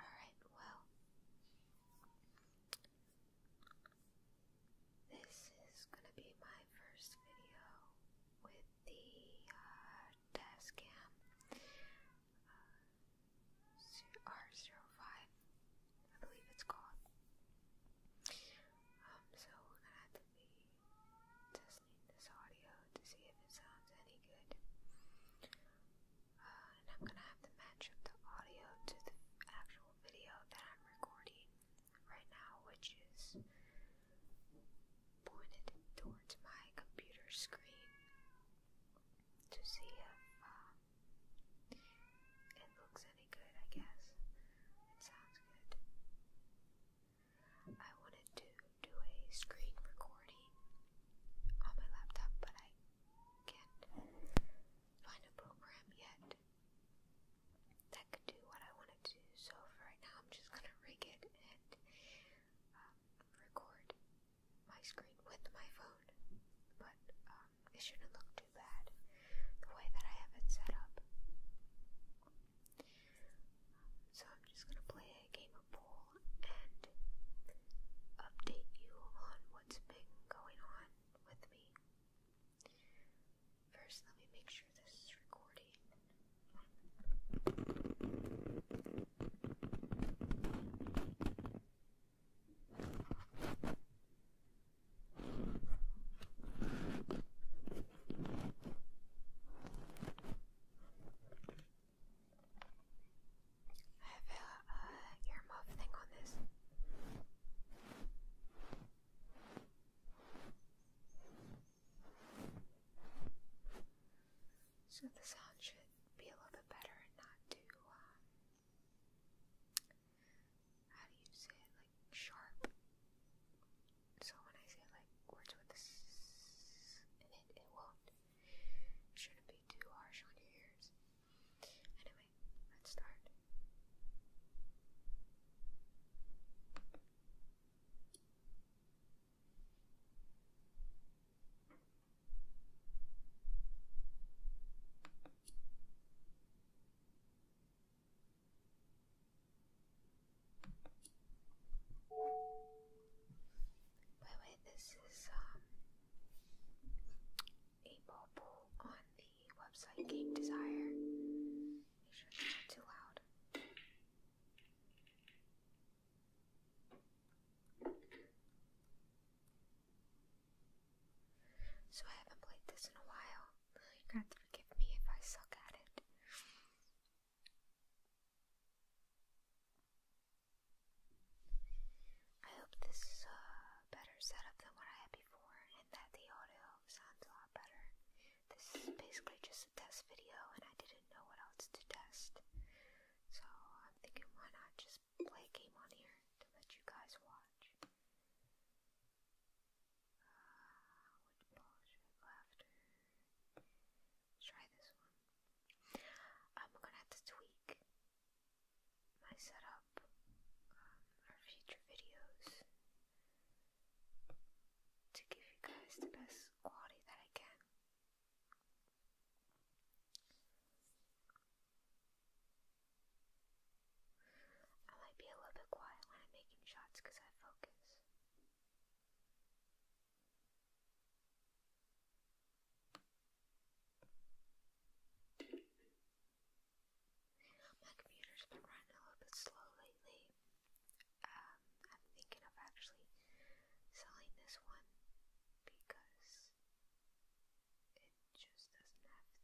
Alright, well, this is gonna be my first video with the uh, uh R05, I believe it's called. Um, so we're gonna have to be this audio to see if it sounds any good. Uh, and I'm gonna have to match up the audio to the actual video that I'm recording right now, which is pointed towards my computer screen to see if um, it looks any good, I guess. It sounds good. I wanted to do a screen recording on my laptop, but I can't find a program yet that could do what I wanted to So for right now, I'm just gonna rig it and um, record my screen with my phone. But um, it shouldn't look too bad the way that I have it set up. So I'm just gonna play a game of pool and update you on what's been going on with me. First, let me make sure this is recording. I have a uh, thing on this. So the sound should be a little bit better and not too, uh, how do you say it, like sharp. So when I say like words with this in it, it won't. shouldn't be too harsh on your ears. Anyway, let's start. By the this is um, a ball on the website Game Desire. Make sure it's not too loud. So I haven't played this in a while. You're to forgive me if I suck at it. I hope this is a better setup than what I had before and that the audio sounds a lot better. This is basically just a test video and I didn't know what else to test. So I'm thinking why not just play a game on here to let you guys watch. Uh, which ball should I go after? try this one. I'm gonna have to tweak my setup for um, future videos to give you guys the best quality that I can. I might be a little bit quiet when I'm making shots because I focus. My computer's been running a little bit slow lately. Um, I'm thinking of actually selling this one because it just doesn't have the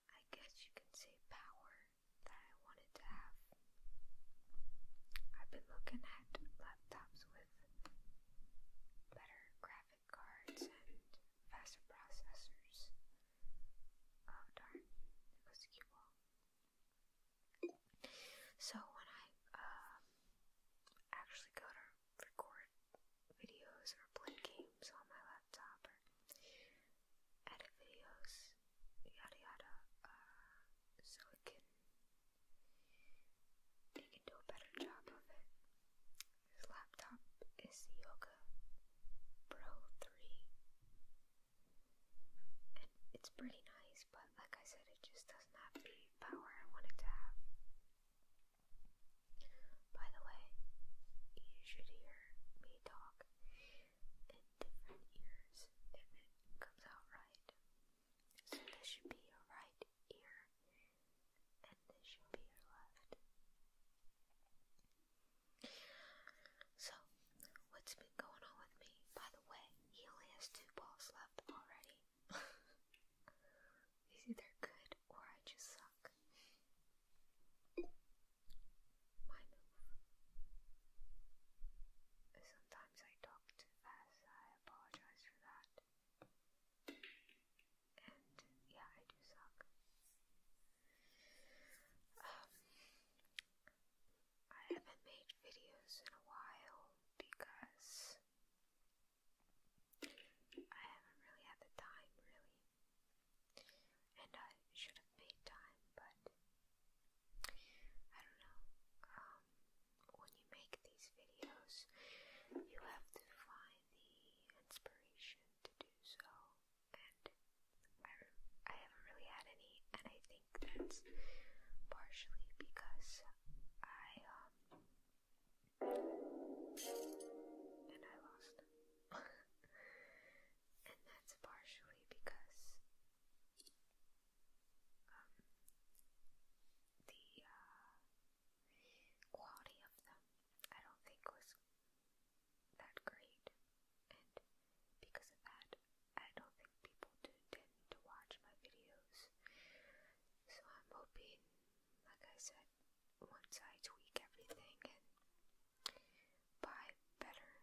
I guess you can say, power that I wanted to have. I've been looking at laptops with better graphic cards and faster processors. Oh darn, there goes the cue So when I um, actually go to record videos or play games on my laptop, whatever. Edit videos, yada yada, so it can they can do a better job of it. This laptop is Yoga Pro 3. And it's pretty nice, but like I said, it just doesn't have the power I want to have. By the way, you should hear me talk different ears if it comes out right. So this should be your right ear, and this should be your left. So, what's been going on with me? By the way, he only has two balls left already. He's either good or I just suck my move. Sometimes I talk too fast, I apologize for that. And yeah, I do suck. Um, I haven't made videos in a while because I haven't really had the time, really and I should have made time, but I don't know. Um, when you make these videos, you have to find the inspiration to do so, and I, I haven't really had any, and I think that's partially because I, um, and I lost and that's partially because um, the uh, quality of them I don't think was that great, and because of that, I don't think people tuned to watch my videos. So I'm hoping, like I said, once I tweak everything and buy better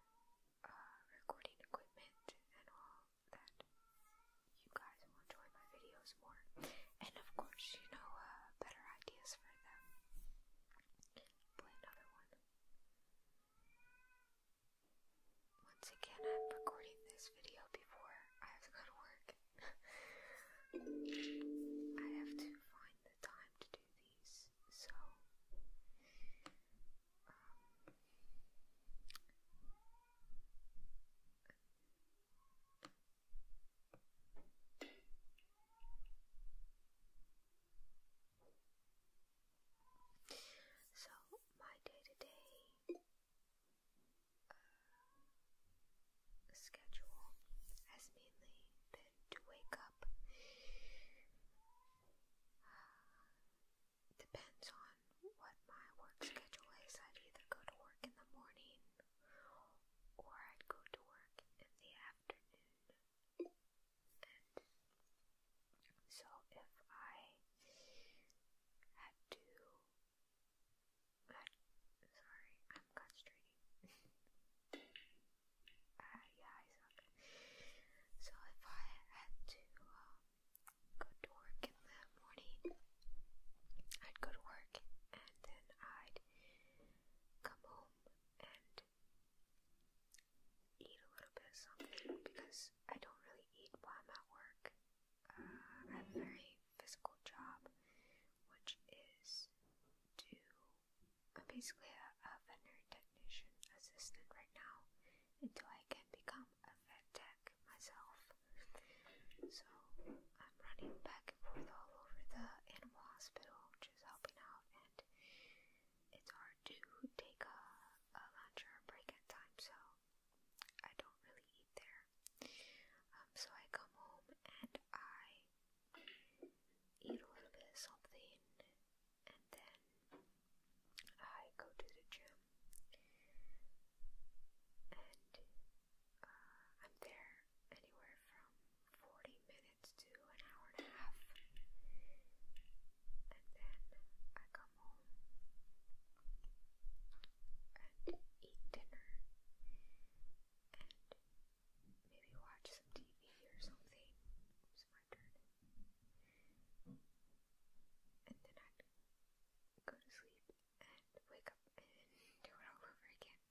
recording equipment and all that you guys will enjoy my videos more. And of course, you know, uh, better ideas for them. Play another one. Once again, I'm recording this video before I have to go to work. I have to find the time to do these, so um, so my day-to-day uh, schedule has mainly been to wake up uh, depends on what my work schedule is. I'd either go to work in the morning or I'd go to work in the afternoon. so if I had to. Uh, sorry, I'm concentrating. Uh, yeah, I suck. So if I had to go to work in the morning, I'd go to work and then I'd come home and eat a little bit of something because I don't really eat while I'm at work. Uh, I have a very physical job, which is to I'm basically a, veterinary technician assistant right now until I can become a vet tech myself. So I'm running back and forth all over the animal hospital, just helping out, and it's hard to take a, lunch or a break at times, so I don't really eat there. Um, so I come home and I eat a little bit of something and then I go to the gym and I'm there anywhere from 40 minutes to an hour and a half and then I come home and eat dinner and maybe watch some TV or something, my journey. And then i go to sleep and wake up and do it all over again.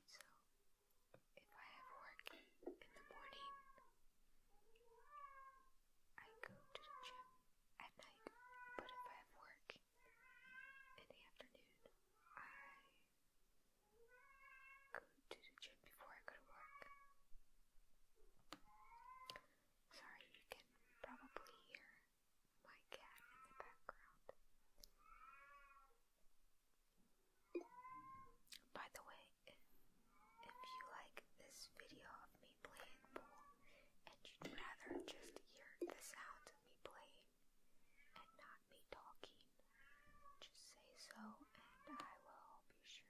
So, if I have work in the morning, I go to the gym at night. But if I have work in the afternoon, I couldn't the gym before I go to work. Sorry, you can probably hear my cat in the background. By the way, if you like this video of me playing pool and you'd rather just hear the sound of me playing and not me talking, just say so and I will be sure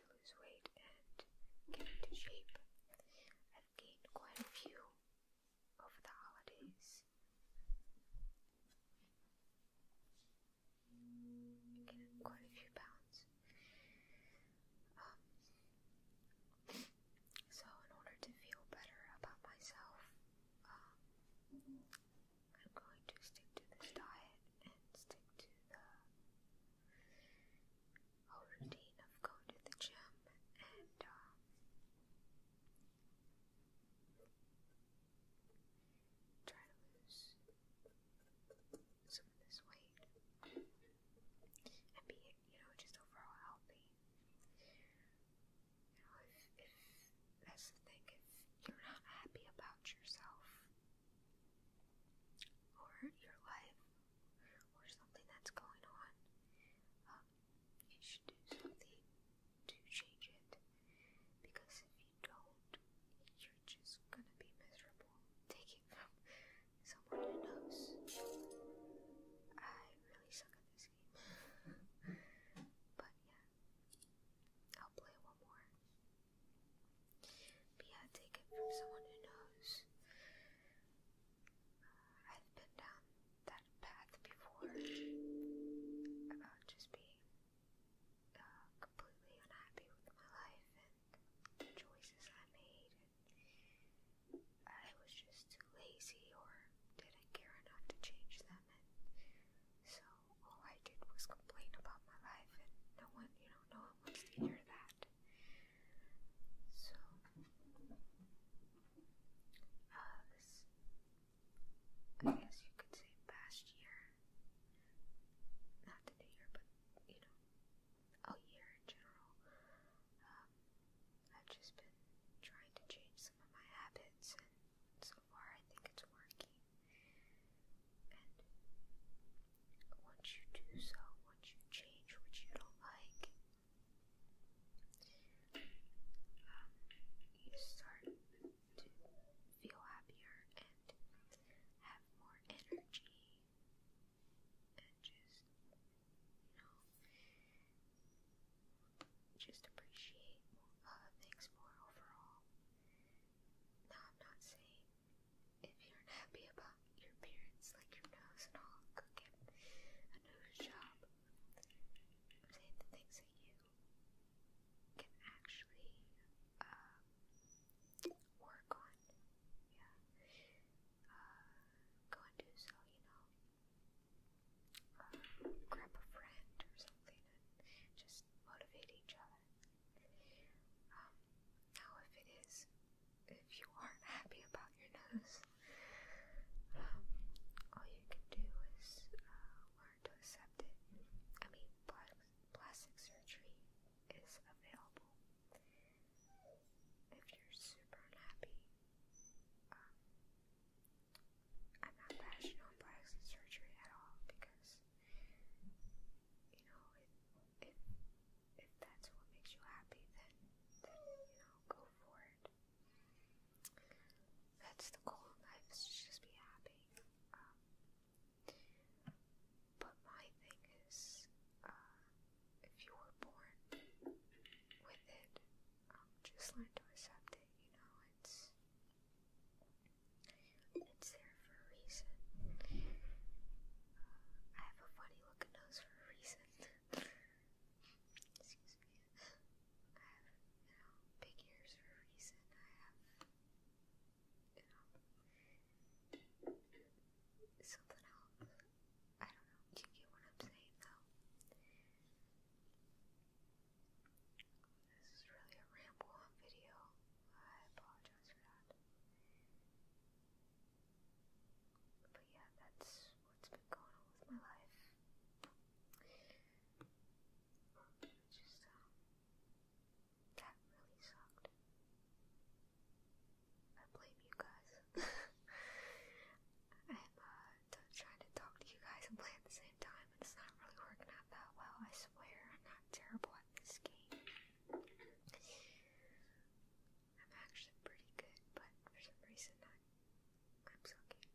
lose weight and get into shape. I've gained quite a few over the holidays. quite a few pounds. Um, so, in order to feel better about myself, um, I'm going to stick to this diet and stick to the whole routine of going to the gym and um, to lose some of this weight and be, you know, just overall healthy. You know, if, if that's the thing, if you're not happy about yourself, or your life or something that's going on, um, you should do something to change it. Because if you don't, you're just gonna be miserable. Take from someone who knows. I really suck at this game. but yeah, I'll play one more. But yeah, take it from someone who knows. Uh, I've been down that path before about just being uh, completely unhappy with my life and the choices I made, and I was just too lazy or didn't care enough to change them, so all I did was complain about my life, and no one, you know, no one wants to hear that. So, this, I guess you could say, past year, not the year, but you know, a year in general, um, I've just been trying to change some of my habits, and so far I think it's working once you do so, once you change what you don't like, um, you start to feel happier and have more energy and just, you know, just appreciate uh, things more overall. Now, I'm not saying if you're unhappy about your appearance, like your nose and all, go get a nose job. I'm saying the things that you can actually uh, work on. Yeah. Uh, go and do so, you know. Uh, grab a friend or something and just motivate each other. Um, now, if it is, if you aren't happy about your nose, all you can do is uh, learn to accept it. I mean, plastic surgery is available. If you're super unhappy, um, I'm not passionate on plastic surgery at all because, you know, if, if that's what makes you happy, then, then you know, go for it. That's the goal in just be happy. Um, but my thing is, uh, if you were born with it, um, just learn to accept it, you know, it's, it's there for a reason. I have a funny looking nose for a reason. Excuse me. I have, you know, big ears for a reason. I have, you know, something else. I don't know. you get what I'm saying, though? This is really a ramble on video. I apologize for that. But yeah, that's what's been going on with my life. Just, that really sucked. I blame you guys. I'm uh, trying to talk to you guys and play at the same time, and it's not really working out that well. I swear, I'm not terrible at this game. I'm actually pretty good, but for some reason I'm, I'm sucking.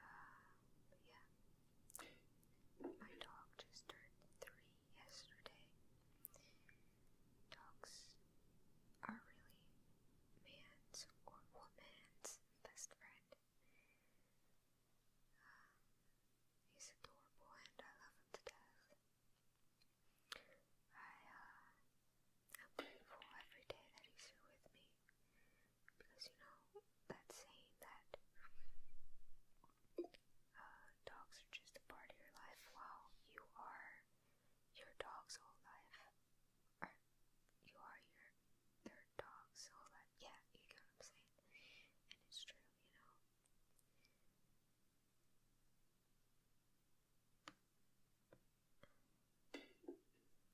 Uh, yeah. My dog just turned three yesterday. Dogs are really man's or woman's best friend he's adorable and I love him to death. I, am uh, grateful every day that he's here with me because, you know, that saying that uh, dogs are just a part of your life while you are your dog's whole life. you are your their dogs so that yeah, you get what I'm saying. And it's true, you know.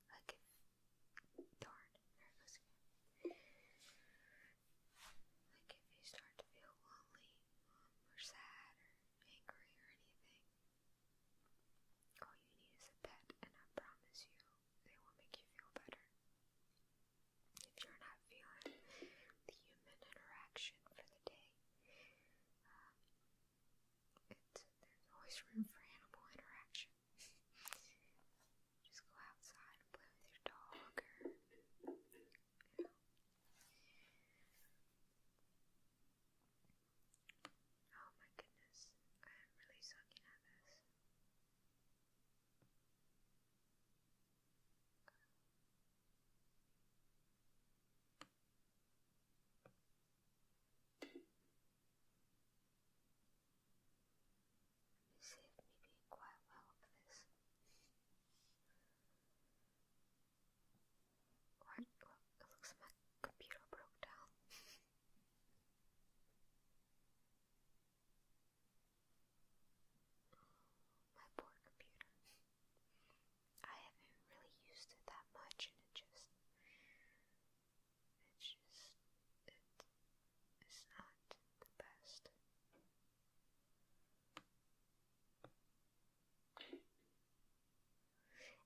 Like darn, there it goes again. Like if you start to feel lonely um, or sad or angry or anything, all you need is a pet and I promise you they will make you feel better. If you're not feeling the human interaction for the day, um, there's always room for animal interaction. Just go outside and play with your dog or, Oh my goodness, I am really sucking at this. You saved me being quite well for this. Or, look, it looks like computer broke down. My poor computer. I haven't really used it that much, and it just. It's just. it's not the best.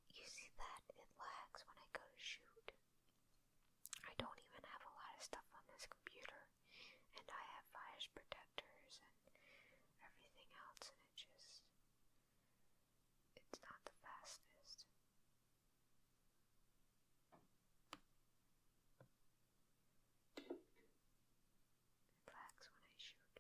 You see that? It lags when I go to shoot. I don't even have a lot of stuff on this computer, and I have virus protectors and everything else, and it just. It's not the fastest. It when I shoot.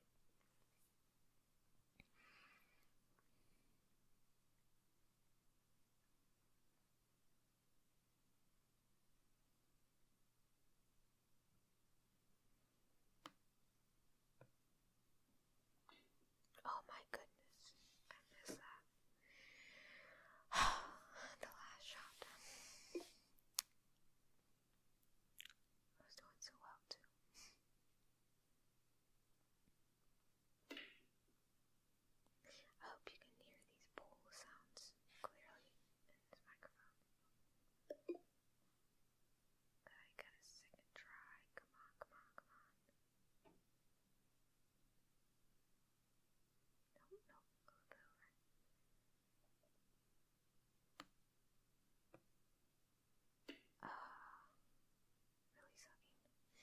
Oh my goodness, I miss that. the last shot. I was doing so well too. I hope you can hear these bowl sounds clearly in this microphone. I got a second try. Come on, come on, come on. Ah really sucking.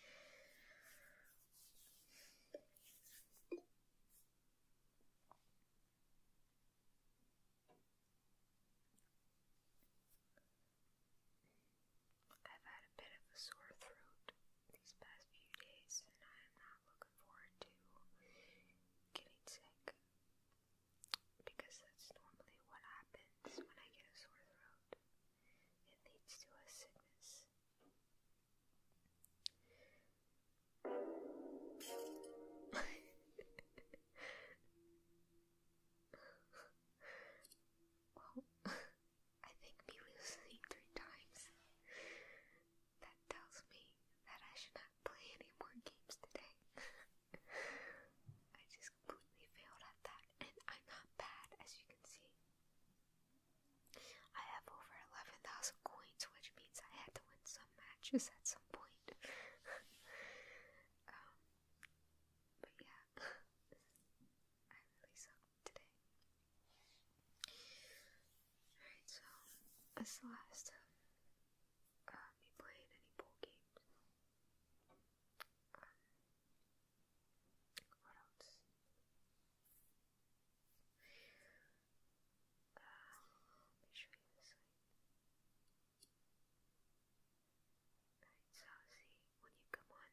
I've had a bit of a sore throat these past few days, and I am not looking forward to getting sick because that's normally what happens when I get a sore throat. It leads to a sickness. well, I think me losing three times. That tells me that I should not play any more games today. I just completely failed at that, and I'm not bad, as you can see. I have over 11,000 coins, which means I had to win some matches at some point. Um, but yeah, I really suck today. Alright, so that's the last time uh, me any bowl games. Um, you so see, when you come on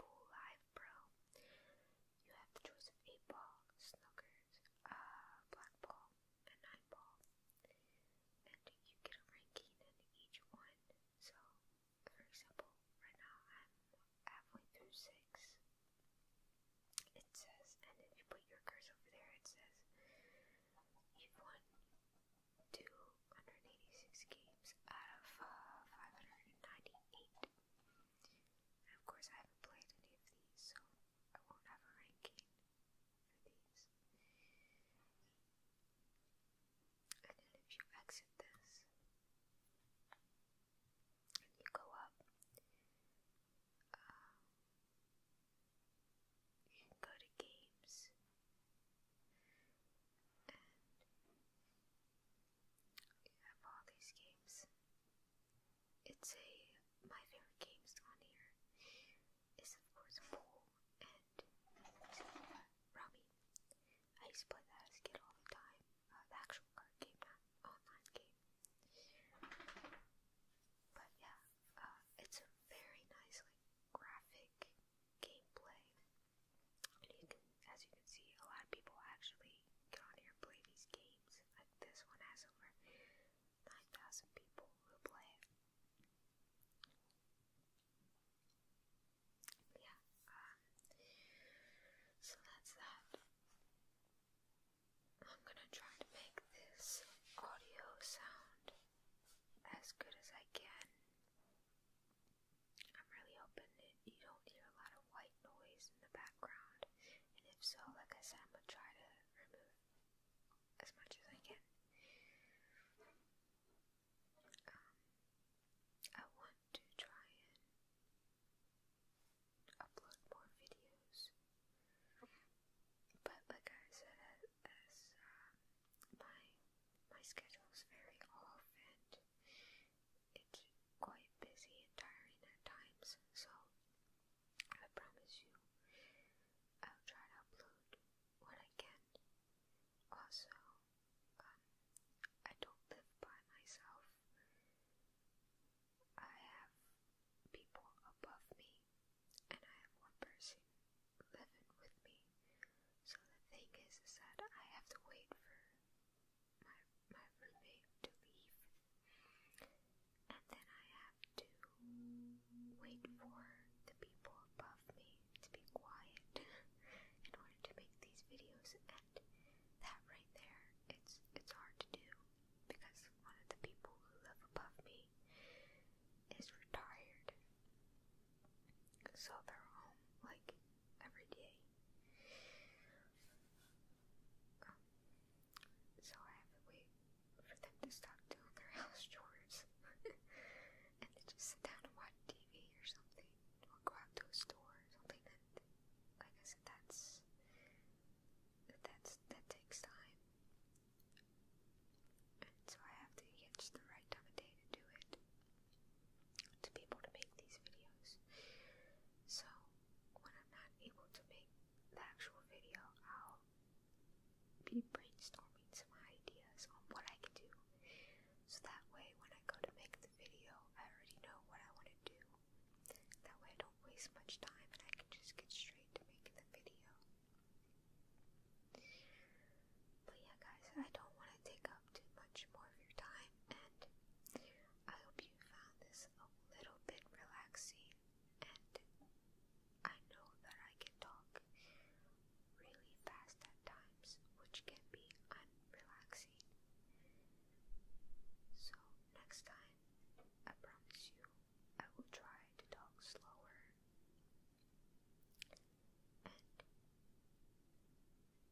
Pool Live Pro, you have the choice of 8 ball, snookers, uh, black ball, and 9 ball. And you get a ranking in each one, so for example, right now I'm halfway through six. It says, and if you put your cursor over there, it says you've won 286 games out of uh, 598. of course, I haven't played any of these, so I won't have a ranking for these. And then if you exit this and you go up, you can go to games and you have all these games. It's a my favorite games on here is of course pool and rummy. I used to play that as a kid all the time. Uh, the actual card game, online game. But yeah, uh, it's a very nice, like, graphic gameplay. And you can, as you can see, a lot of people actually get here play these games. Like this one has over 9,000 people who play it yeah, um, so that's that. I'm gonna try to make this audio sound as good as I can. I'm really hoping you don't hear a lot of white noise in the background, and if so, like I said, I'm gonna try to remove as much as I can um, I want to try and upload more videos. But like I said, as um, my my schedule's very off and it's quite busy and tiring at times, so I promise you, I'll try to upload what I can. Also, I don't live by myself. I have people above me, and I have one person living with me. So the thing is, is that I have to wait for my my roommate to leave, and then I have to wait for the people above me to be quiet in order to make these videos that that right there it's it's hard to do because one of the people who live above me is retired. So they're home like every day. Um, so I have to wait for them to stop doing their house chores and to just sit down and watch TV or something or out to a store or something that like I said that's that's that takes time. so I have to catch the right time of day to do it to be able to make these videos. So when I'm not able to make the actual video, I'll be brainstorming some ideas on what I can do so that way, when I go to make the video, I already know what I want to do. That way, I don't waste much time and I can just get straight to making the video. But yeah, guys, I don't want to take up too much more of your time, and I hope you found this a little bit relaxing. And I know that I can talk really fast at times, which can be unrelaxing. So, next time, I promise you, I will try to talk slower. And,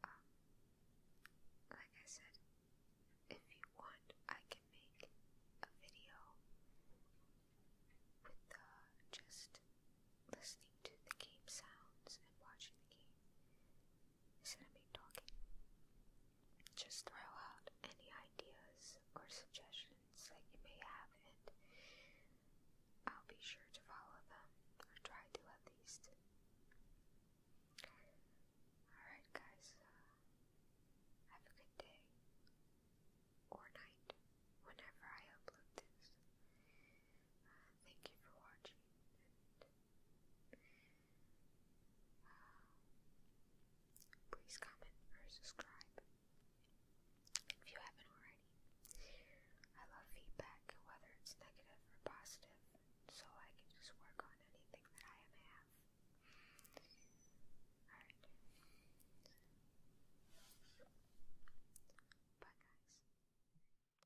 um, like I said, if you want, I can make a video with uh, just listening to the game sounds and watching the you shouldn't talking. Just throw out any ideas or suggestions that you may have, and I'll be sure to follow them, or try to at least. Alright, guys, uh, have a good day or night whenever I upload this. Uh, thank you for watching, Please comment or subscribe if you haven't already. I love feedback, whether it's negative or positive, so I can just work on anything that I am have. Alright. Bye guys.